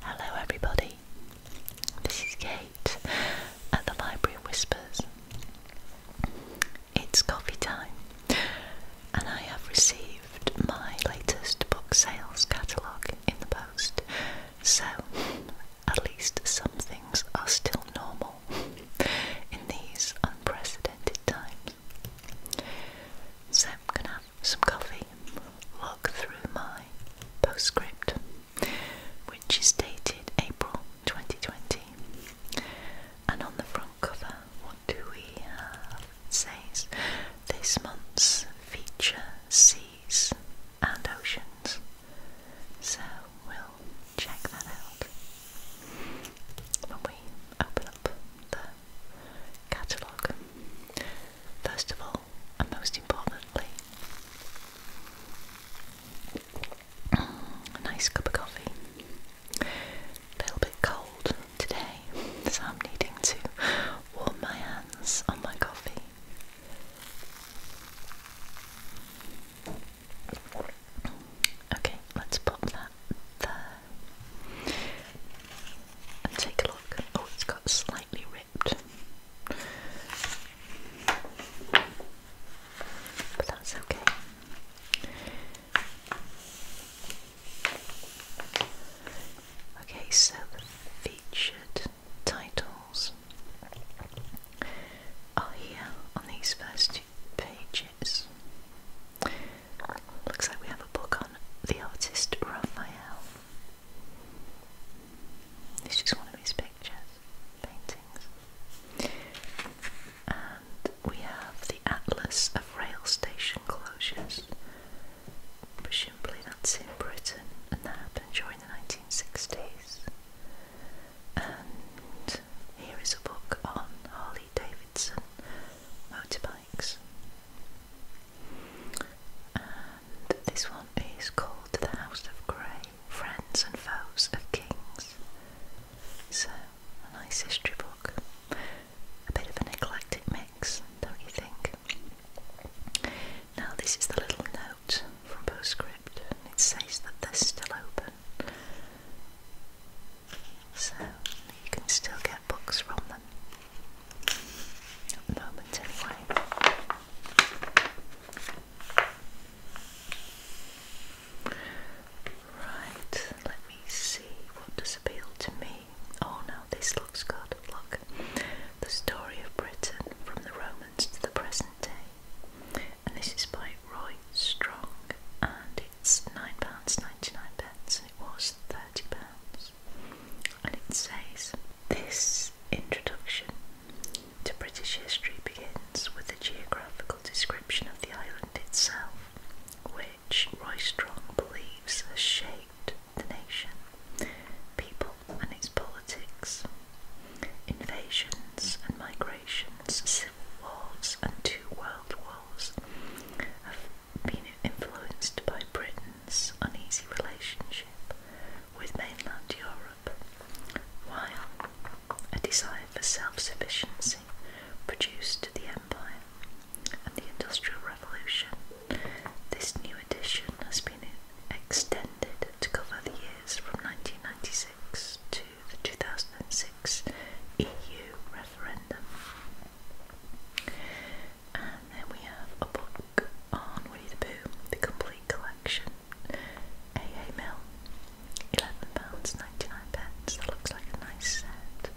Hello, everybody. This is Kate at the Library Whispers. It's coffee time, and I have received my latest book sales catalogue in the post, so at least some things are still normal in these unprecedented times. So I'm gonna have some coffee and look through my postscript, which is dated April 2020. And on the front cover, what do we have? It says this month's feature seas and oceans. So we'll check that out when we open up the catalogue. First of all, and most importantly, a nice cup of coffee. A little bit cold today, so I'm needing to warm my hands on my coffee. Okay, let's pop that and take a look. Oh, it's got slightly ripped, but that's okay. Okay, so the featured titles are here on these first two pages. Looks like we have a book on the artist Raphael. This is one of his pictures, paintings. And we have the Atlas of Rail Station Closures. Presumably that's in Britain, and that happened during the 1960s. And here is a book on Harley Davidson motorbikes likes. And this one is called The House of Grey Friends and Foes of Kings. So, a nice history book. A bit of an eclectic mix, don't you think? Now, this is the little note from Postscript, it says that they're still open so you can still get books from them at the moment anyway. Right, let me see what does appeal to me. Oh no, this looks good. Look, the story of Britain from the Romans to the present day. And this is by Roy Strong and it's £9.99 and it was £30. And it says, This introduction to British history begins with a geographical description of the island itself, which Roy Strong believes has shaped the nation, people, and its politics. Invasions and migrations, civil wars, and two world wars been influenced by Britain's uneasy relationship with mainland Europe, while a desire for self sufficiency produced the Empire and the Industrial Revolution. This new edition has been extended to cover the years from 1996 to the 2006 EU referendum. And then we have a book on Winnie the Pooh, the complete collection. AA Mill, £11.99. That looks like a nice set.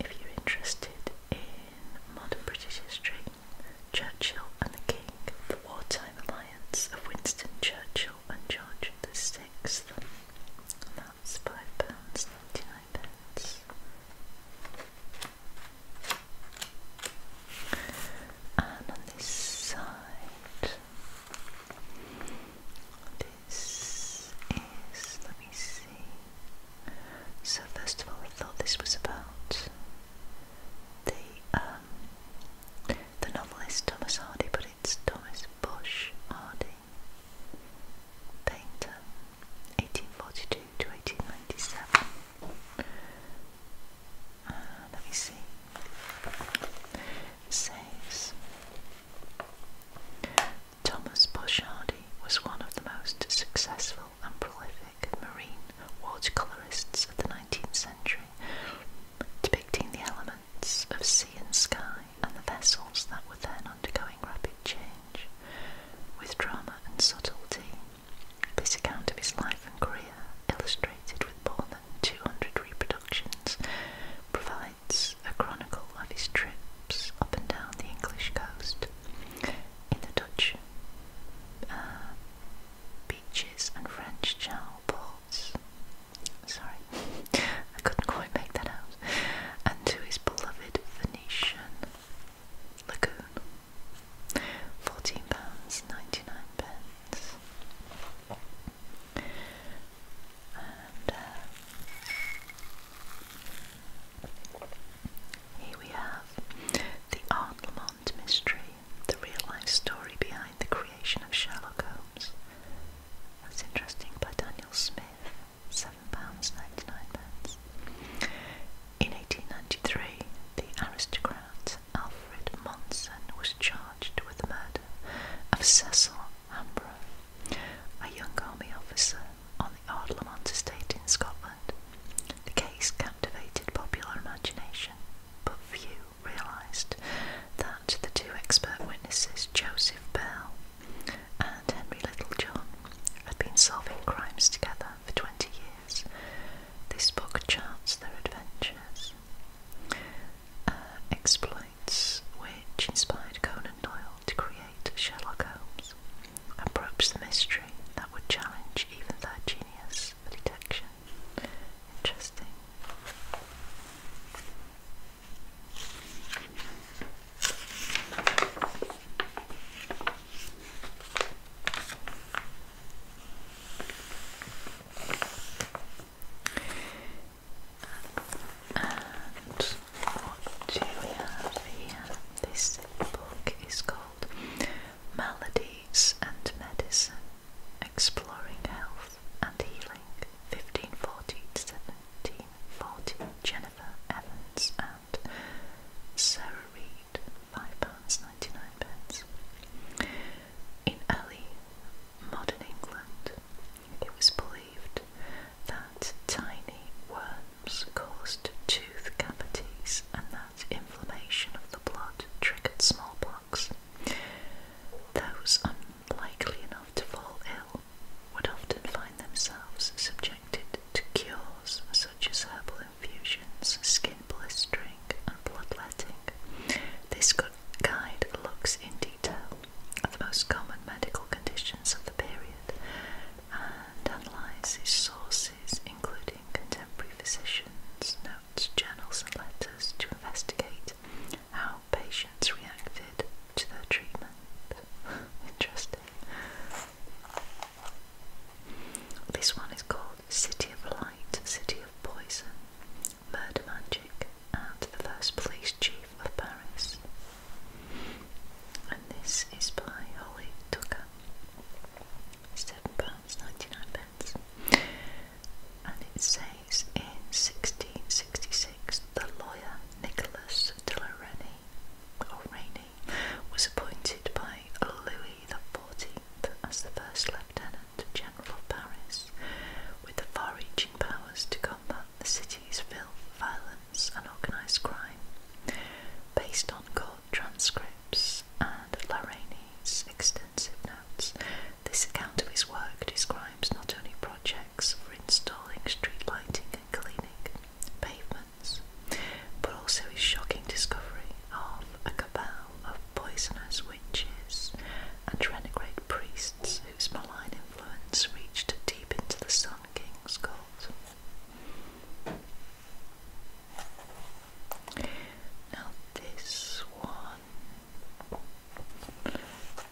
if you're interested in modern British history, Churchill and the King, the wartime alliance of Winston Churchill and George the Sixth. That's five pounds ninety nine pence. And on this side, this is, let me see. So, first of all, I thought this was about the um, the novelist Thomas Hardy, but it's Thomas Bush Harding, painter, 1842 to 1897. Ah, let me see. says Thomas Bush Hardy was one of the most successful and prolific marine watercolorists of the 19th century, depicting the elements of sea and sky and the vessels that were then undergoing rapid change with drama and subtlety. This account of his life and career, illustrated with more than 200 reproductions, provides a chronicle of his trips up and down the English coast in the Dutch uh, beaches and French channel ports. Sorry, I couldn't quite make that out. And to his beloved Venetian lagoon. Fourteen pounds ninety nine pence. And uh, here we have the Arnlemont mystery, the real life story behind the creation of Sherlock Holmes that's interesting, by Daniel Smith, £7.99. In 1893, the aristocrat Alfred Monson was charged with the murder of Cecil Hamborough, a young army officer on the Ardlamont estate in Scotland. The case captivated popular imagination, but few realised that the two expert witnesses, Joseph Bell and Henry Littlejohn, had been solving crimes together for 20 years. This book charts their adventures, uh, exploits which inspired Conan Doyle to create Sherlock Holmes, and probes the mystery that would challenge even their genius for detection. Interesting. And This book is called Maladies and Medicine Exploring Health Health and Healing, 1540 Jennifer Evans and Sarah Reed, £5.99. pence. In early modern England, it was believed that tiny worms caused tooth cavities and that inflammation of the blood triggered smallpox. Those unlikely enough to fall ill would often find themselves subjected to cures such as herbal infusions, skin blistering, and bloodletting. This good guide looks in detail at the most common medical conditions of the period and analyses sources, including contemporary physicians, notes, journals, and letters, to investigate how patients reacted to their treatment. Interesting. This one is called City of Light, City of Poison, Murder Magic, and the First Police Chief of Paris. And this is by Holly Tucker. £7.99 and it says in 1666 the lawyer Nicholas de la Reynie, was appointed by Louis XIV as the first lieutenant general of Paris, with the far-reaching powers to combat the city's filth, violence and organised crime. Based on court transcripts and La Rainey's extensive this account of his work describes not only projects for installing street lighting and cleaning pavements, but also his shocking discovery of a cabal of poisonous witches and renegade priests whose malign influence reached deep into the Sun King's court. Now, this one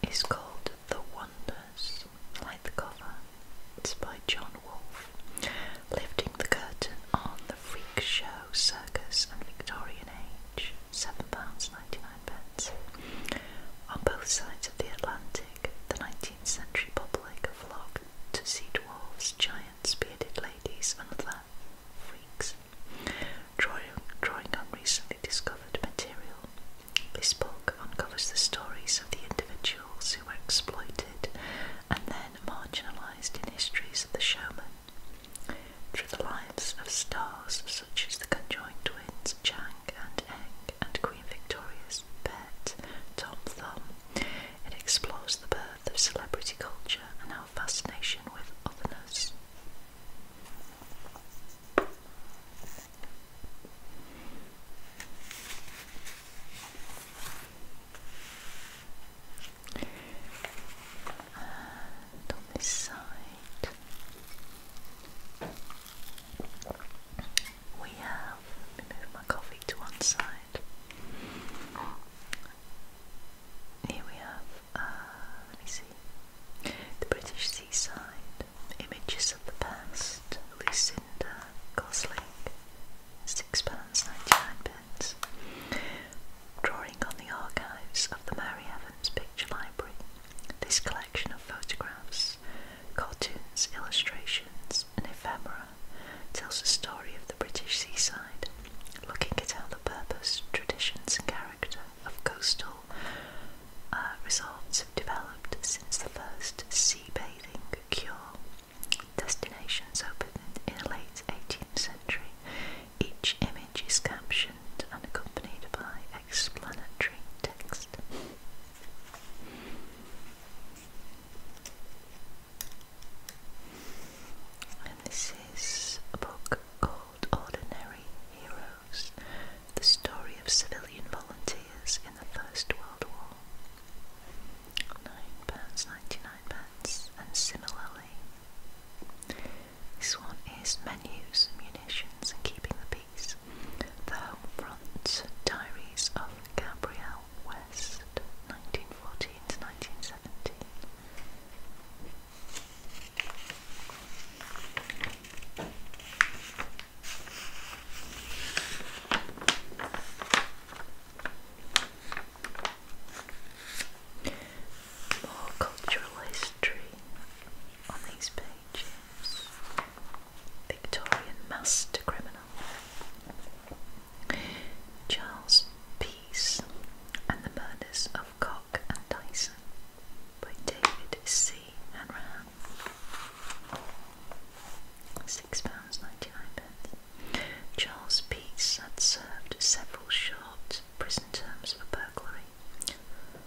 it's called The Wonders, like the cover. It's by John Wolfe. Lifting the curtain on the freak show circus and Victorian age, £7.99. On both sides of the Atlantic, the 19th century public flocked to see dwarfs, giants, bearded ladies, and other freaks drawing, drawing on recently discovered material. This book uncovers the stories of the individuals who were exploited and then marginalised in histories of the showman. Through the lives of stars such as the conjoined twins Chang and Eng and Queen Victoria's pet Tom Thumb, it explores the birth of celebrity culture and our fascination with otherness. And on this side, we have. Let move my coffee to one side. Here we have uh, let me see, the British seaside, images of the past, Lucinda Gosling, £6.99, drawing on the archives of the Mary Evans Picture Library, this collection of photographs, cartoons, illustrations and ephemera tells the story of the British seaside, looking at how the purpose, traditions and characters of coastal uh, resorts have developed since the first sea bathing cure. Destinations opened in the late 18th century. Each image is captioned and accompanied by explanatory text. And this is a book called Ordinary Heroes The Story of Civilian Volunteers in the First World War. 9 99 pence, and similarly. This one is Menus, Munitions and Keeping the Peace. The Home Front Diaries of Gabrielle West, 1914 to 1917. More cultural history on these pages. Victorian master criminal Charles Peace and the murders of Babcock and Dyson by David C. Hanrahan. £6.99. Charles Peace had served several short prison terms for burglary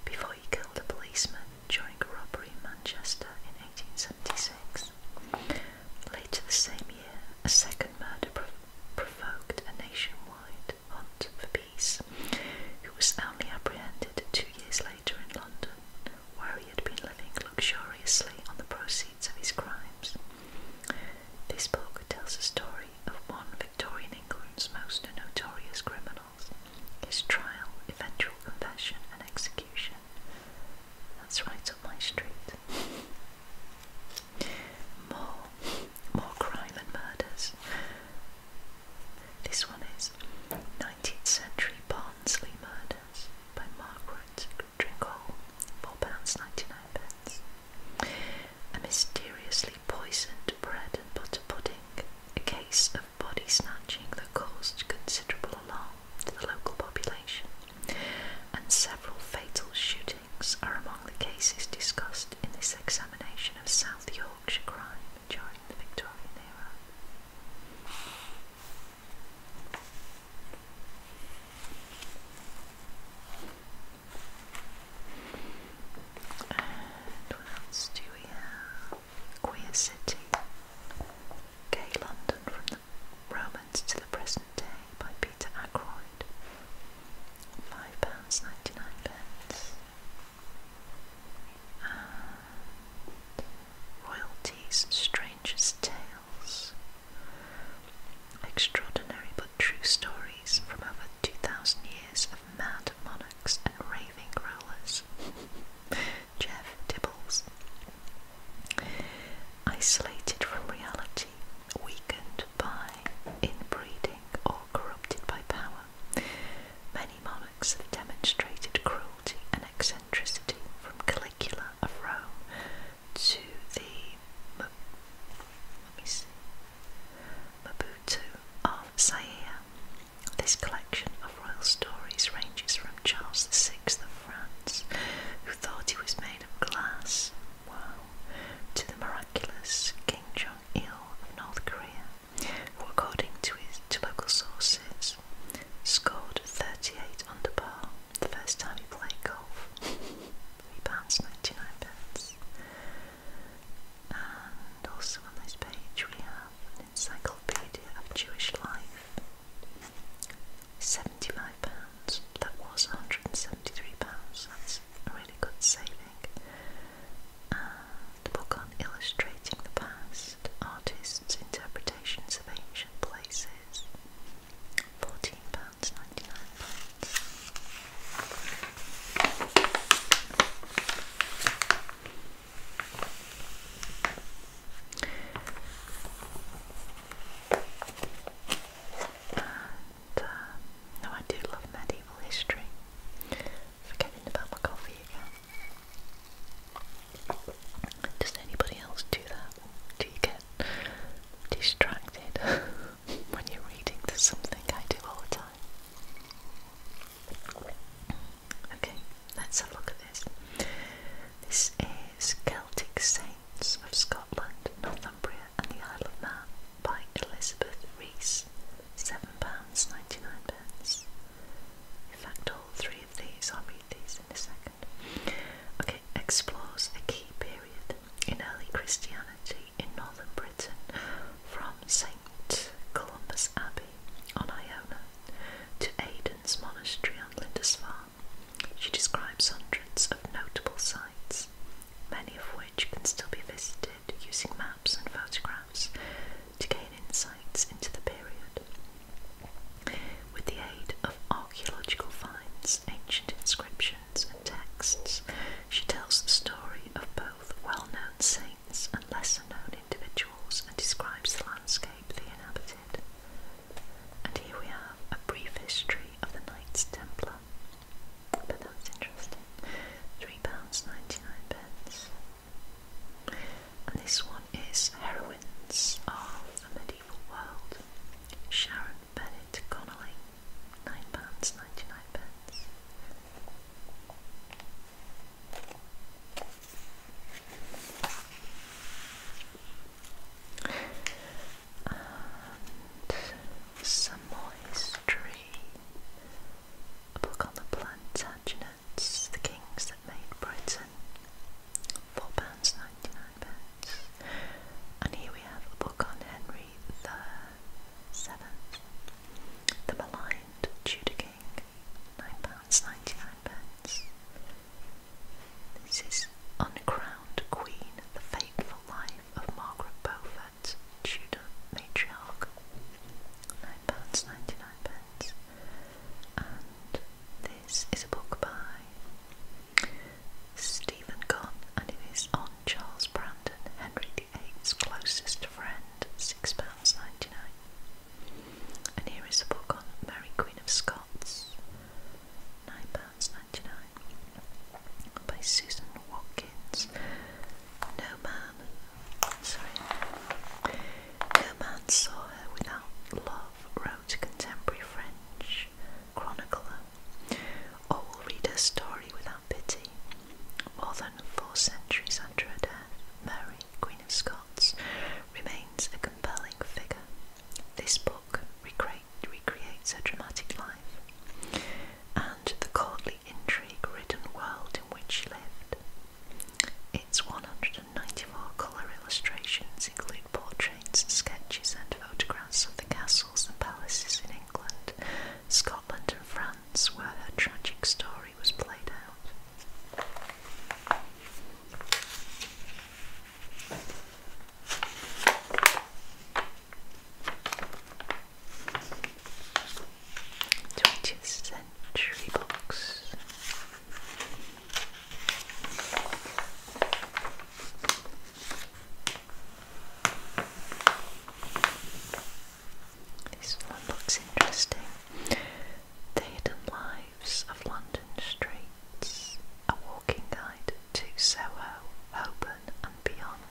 before he killed a policeman during a robbery in Manchester in 1876. Later that same year, a second murder provoked a nationwide hunt for peace, who was only apprehended two years later in London, where he had been living luxuriously on the proceeds of his crimes. This book tells the story of one Victorian England's most notorious criminals, his trial, eventual confession, and execution. That's right up my street. More, more crime and murders, this one is 19th Century Barnsley Murders by Margaret Dringhole, £4.99. pence. A mysteriously poisoned bread and butter pudding, a case of body snatching that caused considerable alarm to the local population, and several fatal shootings are among the cases discussed in this examination of South York. Yorkshire crime during the Victorian era. And what else do we have? Queer City. Gay London from the Romans to the present day by Peter Ackroyd. £5.99 and uh, royalty's strangest tales, extraordinary but true stories from over 2,000 years of mad monarchs and raving rulers. Jeff Dibbles. Isolated from reality, weakened by inbreeding or corrupted by power, Many monarchs have demonstrated cruelty and eccentricity from Caligula of Rome to the let me see, Mabutu of Zaire. This collection of royal stories ranges from Charles VI of France, who thought he was made of glass, to the miraculous King Jong Il of North Korea, who, according to, his, to local sources, scored 38 under par the first time he played golf. £3.99. And also on this page we have an encyclopedia of Jewish life. £75. That was £173. That's a really good saving the book on illustrating the past, artists' interpretations of ancient places, fourteen pounds ninety nine pence. Uh, no, I do love medieval history. Forgetting about my coffee Does anybody else do that? Do you get distracted when you're reading? There's something I do all the time. Okay, let's have a look at this. This is Celtic Saints of Scotland, Northumbria, and the Isle of Man by Elizabeth Rees, £7.99. In fact, all three of these, I'll read these in a second. Okay, explores a key period in early Christianity in northern Britain from St. Columba's Abbey on Iona to Aidan's Monastery on Lindisfarne. She describes hundreds of notable sites, many of which can still be visited using maps and photographs to gain insights into the period. With the aid of archaeological finds, ancient inscriptions, and texts, she tells the story of both well known saints and lesser known individuals and describes the landscape they inhabited. And here we have a brief history of the Knights Templar. But that interesting. £3.99. pence. And this one is Heroines of the Medieval World. Sharon Bennett Connolly. £9.99. pence. some more history. A book on the Plantagenets, the kings that made Britain, £4.99. And here we have a book on Henry the Seventh, The Maligned Tudor King, £9.99. This is Uncrowned Queen, The Fateful Life of Margaret Beaufort, Democrat matriarch, £9.99, and this is a book by Stephen Gunn, and it is on Charles Brandon, Henry VIII's closest friend, £6.99. And here is a book on Mary Queen of Scots, £9.99, by Susan Watkins. No man, sorry, no man saw her without love, wrote contemporary French chronicler, or will read her story without pity. More than four centuries after her Mary, Queen of Scots, remains a compelling figure. This book recreates her dramatic life and the courtly intrigue ridden world in which she lived. Its 194 colour illustrations include portraits, sketches, and photographs of the castles and palaces in England, Scotland, and France, where her tragic story was played out. 20th century Books. This one looks interesting. Hidden Lives of London Streets, a walking guide to Soho, Holborn and beyond.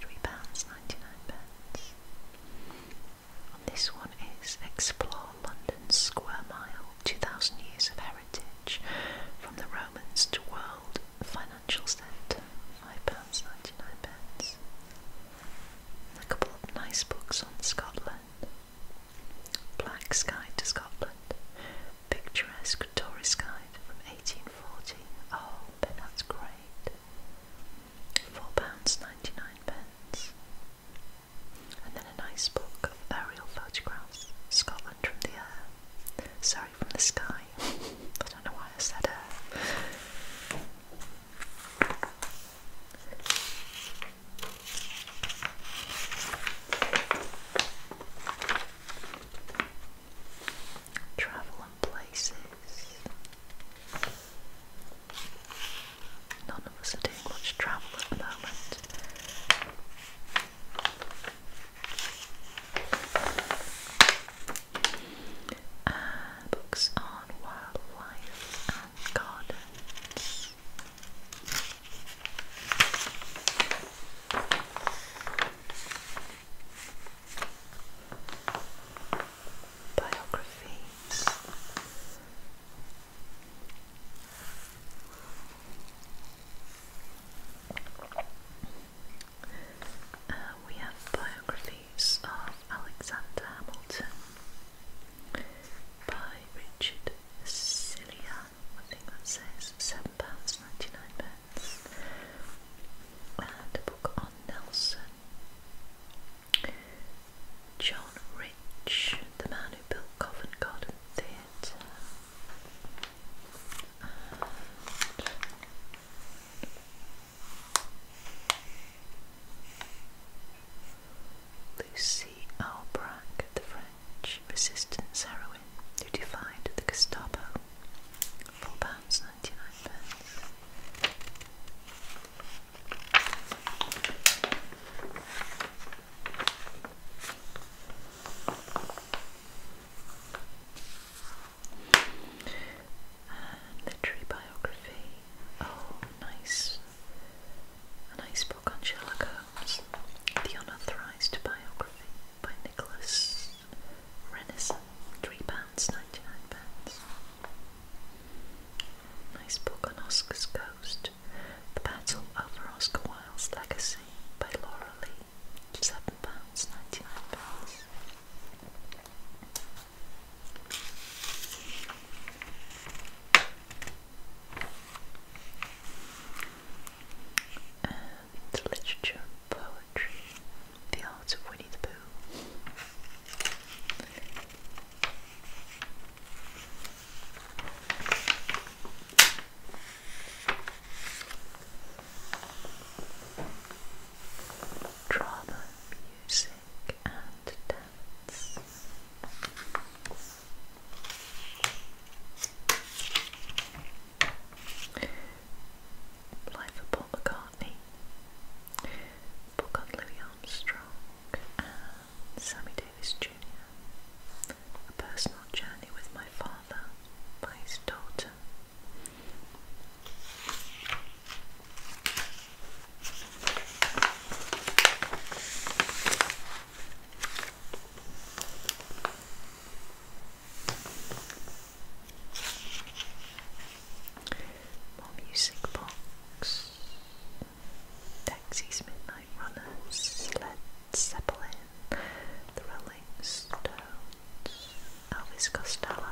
£3.99. pence. This one is Explore London Square Mile 2000 Years of Heritage from the Romans to World Financial Centre, £5.99. pence. a couple of nice books on Scotland Black Sky to Scotland, Picturesque Tourist Guide from 1840. Oh, but that's great four pounds ninety nine pence. And then a nice book of aerial photographs, Scotland from the air. Sorry, from the sky. I don't know why I said air. Travel and places. None of us are doing much travel at the moment. Uh, books on wildlife and gardens biographies. Uh, we have biographies of Alexander Hamilton by Richard Cillian, I think that says £7.99. Thomas, book on Nelson. John Rich, the man who built Covent Garden Theatre. Lucy Albrecht, the French resistance heroine who defied the Gestapo. 4 pounds and literary biography. Oh, nice. A nice book on Sherlock Holmes. The Unauthorized Biography by Nicholas Renaissance, £3, 99 pence. Nice book on Oscar's Ghost, The Battle Over Oscar Wilde's Legacy by Laura Lee, £7, 99 pence. And literature poetry, the arts of Winnie the Pooh, drama, music, and dance. Life Paul McCartney, book on Louis Armstrong Sammy Davis Jr., A Personal Journey with My Father by His Daughter music box. Taxis, Midnight Runners, Led Zeppelin, The Elvis Costello,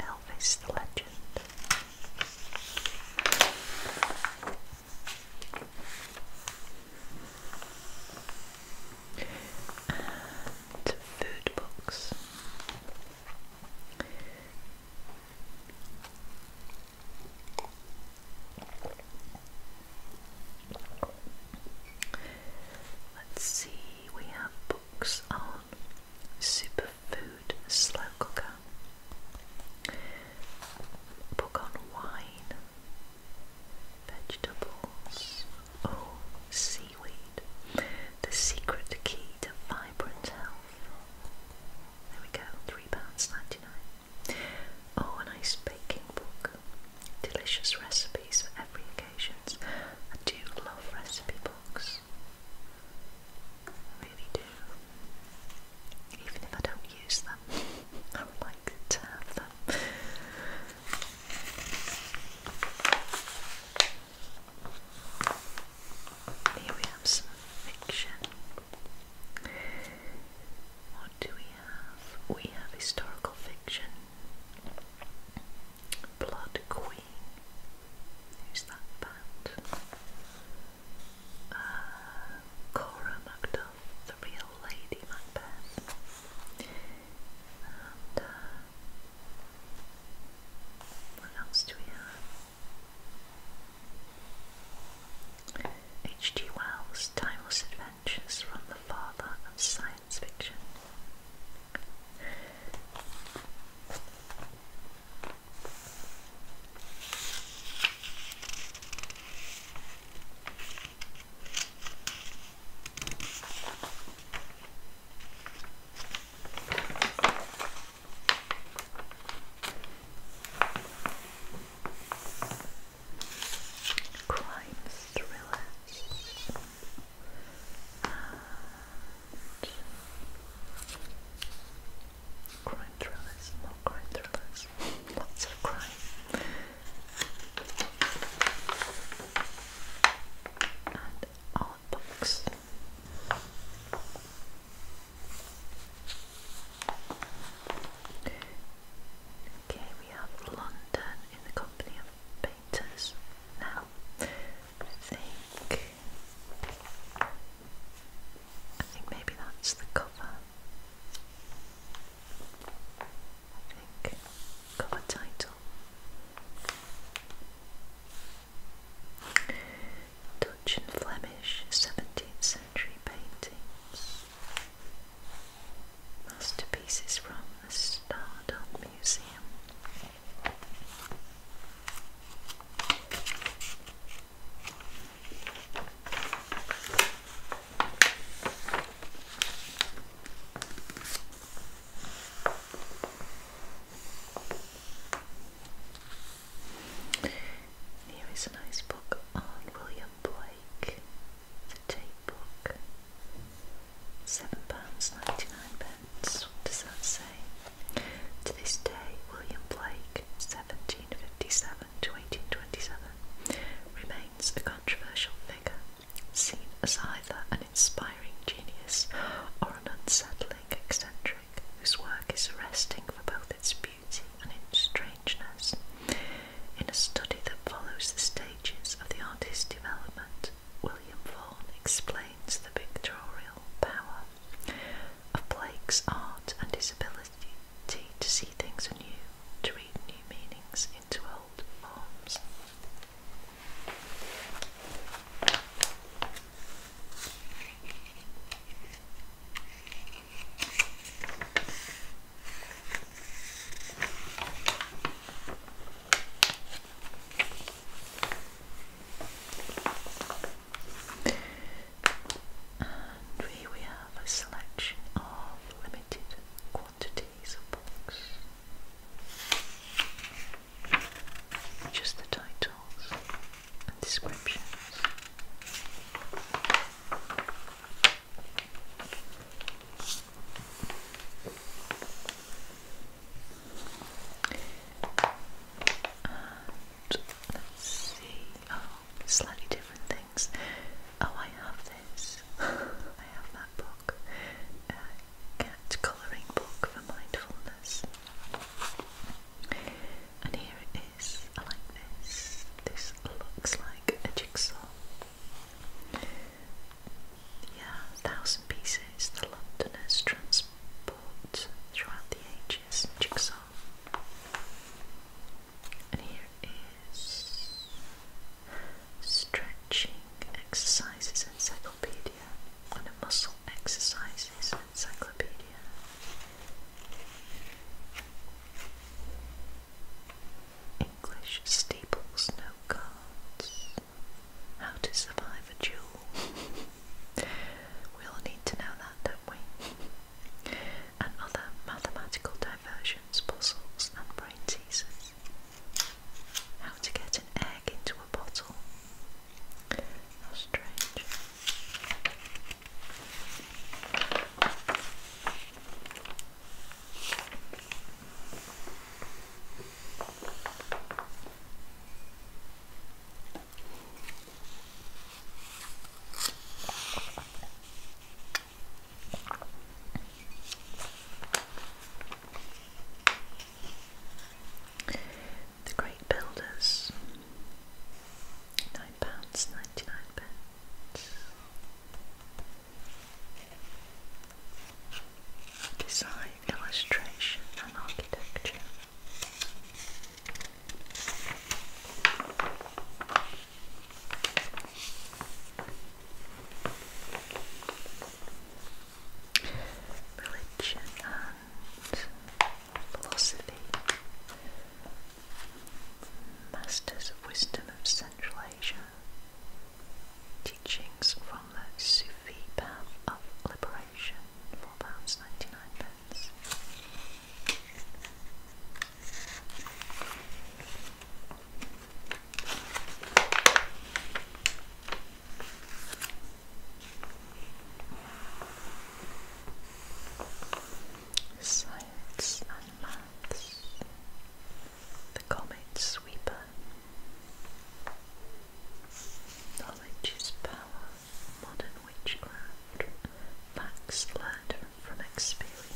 Elvis the Legend and food books. Let's see, we have books on superfood slow cooker, book on wine, vegetables, or oh, seaweed. The secret key to vibrant health. There we go, £3.99. Oh, a nice baking book. Delicious recipes for every occasion. I do love recipe books. really do. Even if I don't use them, I would like to have them. Here we have some fiction. What do we have? We have historical fiction. Blood Queen. Who's that band? Uh, Cora Macduff, the real Lady Macbeth. H.G. Wells' timeless adventures from the father of science fiction. Crime thrillers and crime thrillers, more crime thrillers, lots of crime and all books. Okay, we have London in the company of painters. Now, I think I think maybe that's the cover. I think cover title. Dutch and Flemish 17th century paintings. Masterpieces from the Stardom Museum. Here is a nice book on William Blake, the tape book. £7.99. What does that say? To this day, William Blake, 1757 to 1827, remains a controversial figure seen as either an inspiring genius or an unsettling eccentric whose work is arresting for both its beauty and its strangeness. In a study that follows the stages of the artist's development, William Vaughan explains the pictorial power of Blake's art and his ability to see things anew, to read new meanings into old forms. And here we have a selection of limited quantities of books, just the titles and descriptions. And let's see, oh, slightly different things. Oh, I have I have that book, a uh, cat colouring book for mindfulness. And here it is. I like this. This looks like a jigsaw. Yeah, thousand pieces. The Londoners transport throughout the ages. Jigsaw. And here stretching exercises encyclopedia muscle exercises encyclopedia. English staples, no Cards. How to survive a duel. we all need to know that, don't we? And other mathematical diversions, puzzles, and brain teasers. How to get an egg into a bottle. How strange. The Great Builders, £9.99. Design, illustration, and architecture religion and philosophy, masters of wisdom of Central Asia, teachings from the Sufi path of liberation, £4.99. Pence. Science and Maths The Comet Sweeper Knowledge is Power Modern Witchcraft Facts Learned from Experience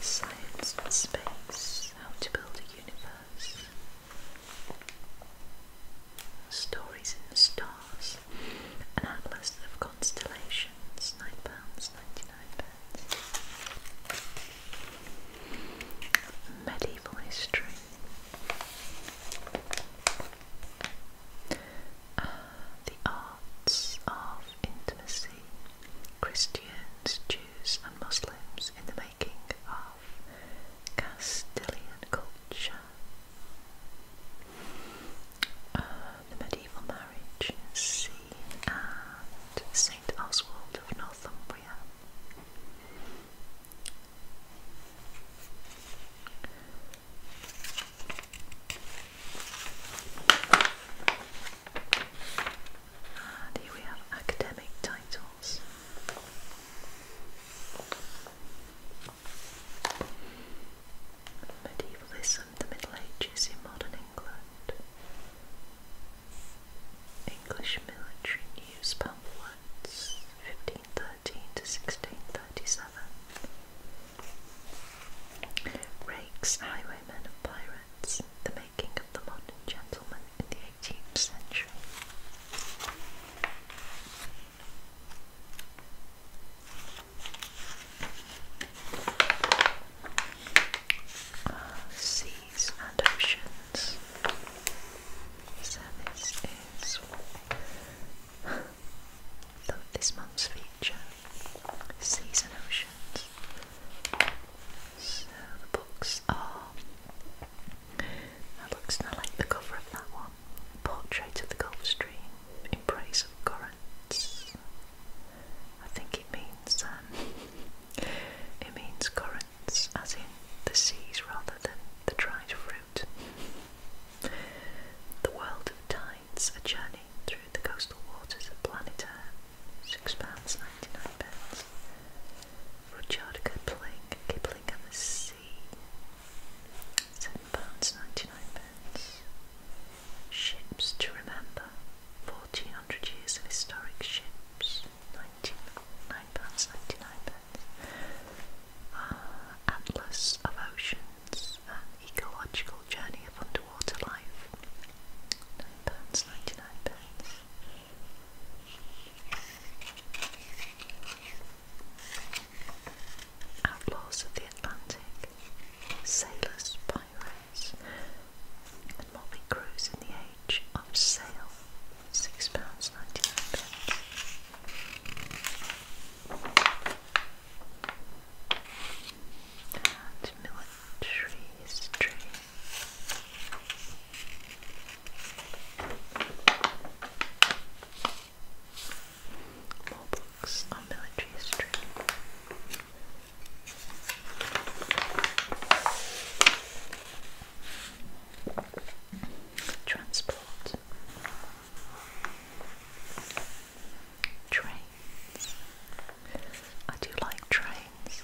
Science and space, how to build a universe, stories in the stars, an atlas of constellations, nine pounds ninety-nine pence. Medieval history, uh, the arts of intimacy, Christians, Jews, and Muslims in the making of Castilian culture. Uh, the medieval marriage scene and St. Oswald of Northumbria. And here we have academic titles. Medievalism, the Middle Ages in modern England. English military news pamphlets, 1513 to 1637. Rakes, highwaymen and pirates, the making of the modern gentleman in the 18th century. Ah, seas and oceans. So is so this month's feature, Seas and Oceans. So the books are. That looks. I like the cover of that one. Portrait of the Gulf Stream embrace of currents. I think it means um, it means currents, as in the seas rather than the dried fruit. The World of Time provides a journey through the coastal waters of planet Earth, £6.99. Rudyard Kipling, Kipling and the Sea, £7.99. Ships to Remember, 1400 Years of Historic Ships, £9.99. Uh, ah, Atlas of Ocean, an Ecological Journey of Underwater Life. £9, 99 pence. Outlaws of the Atlantic, Sailors, Pirates, and Motley in the Age of Sail, £6.99 and military history. More books on military history. Transport. Trains. I do like trains.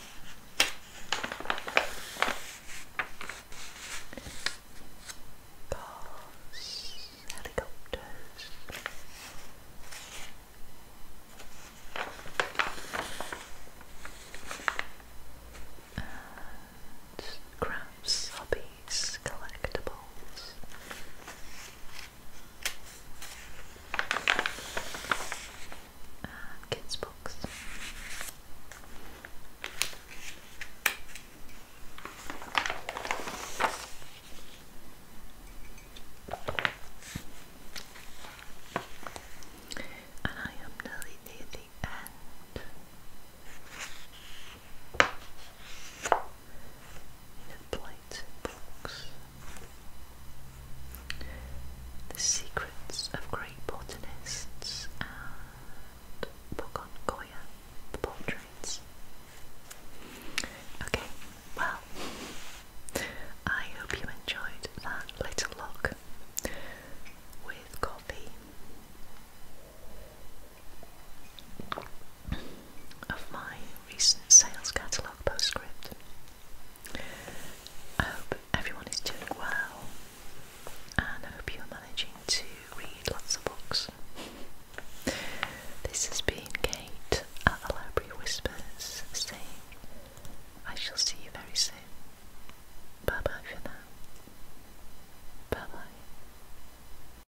Cars, helicopters. And crafts, hobbies these collectibles. Uh, kids' books. And I am nearly near the end in a plate box. The secrets of great botanists and book on Goya portraits. Okay, well, I hope you enjoyed that little look with coffee of my recent sales catalogue postscript. I hope everyone is doing well and I hope you're managing to read lots of books. This has been Kate at the Library Whispers saying I shall see you very soon. Bye bye for now. Bye bye.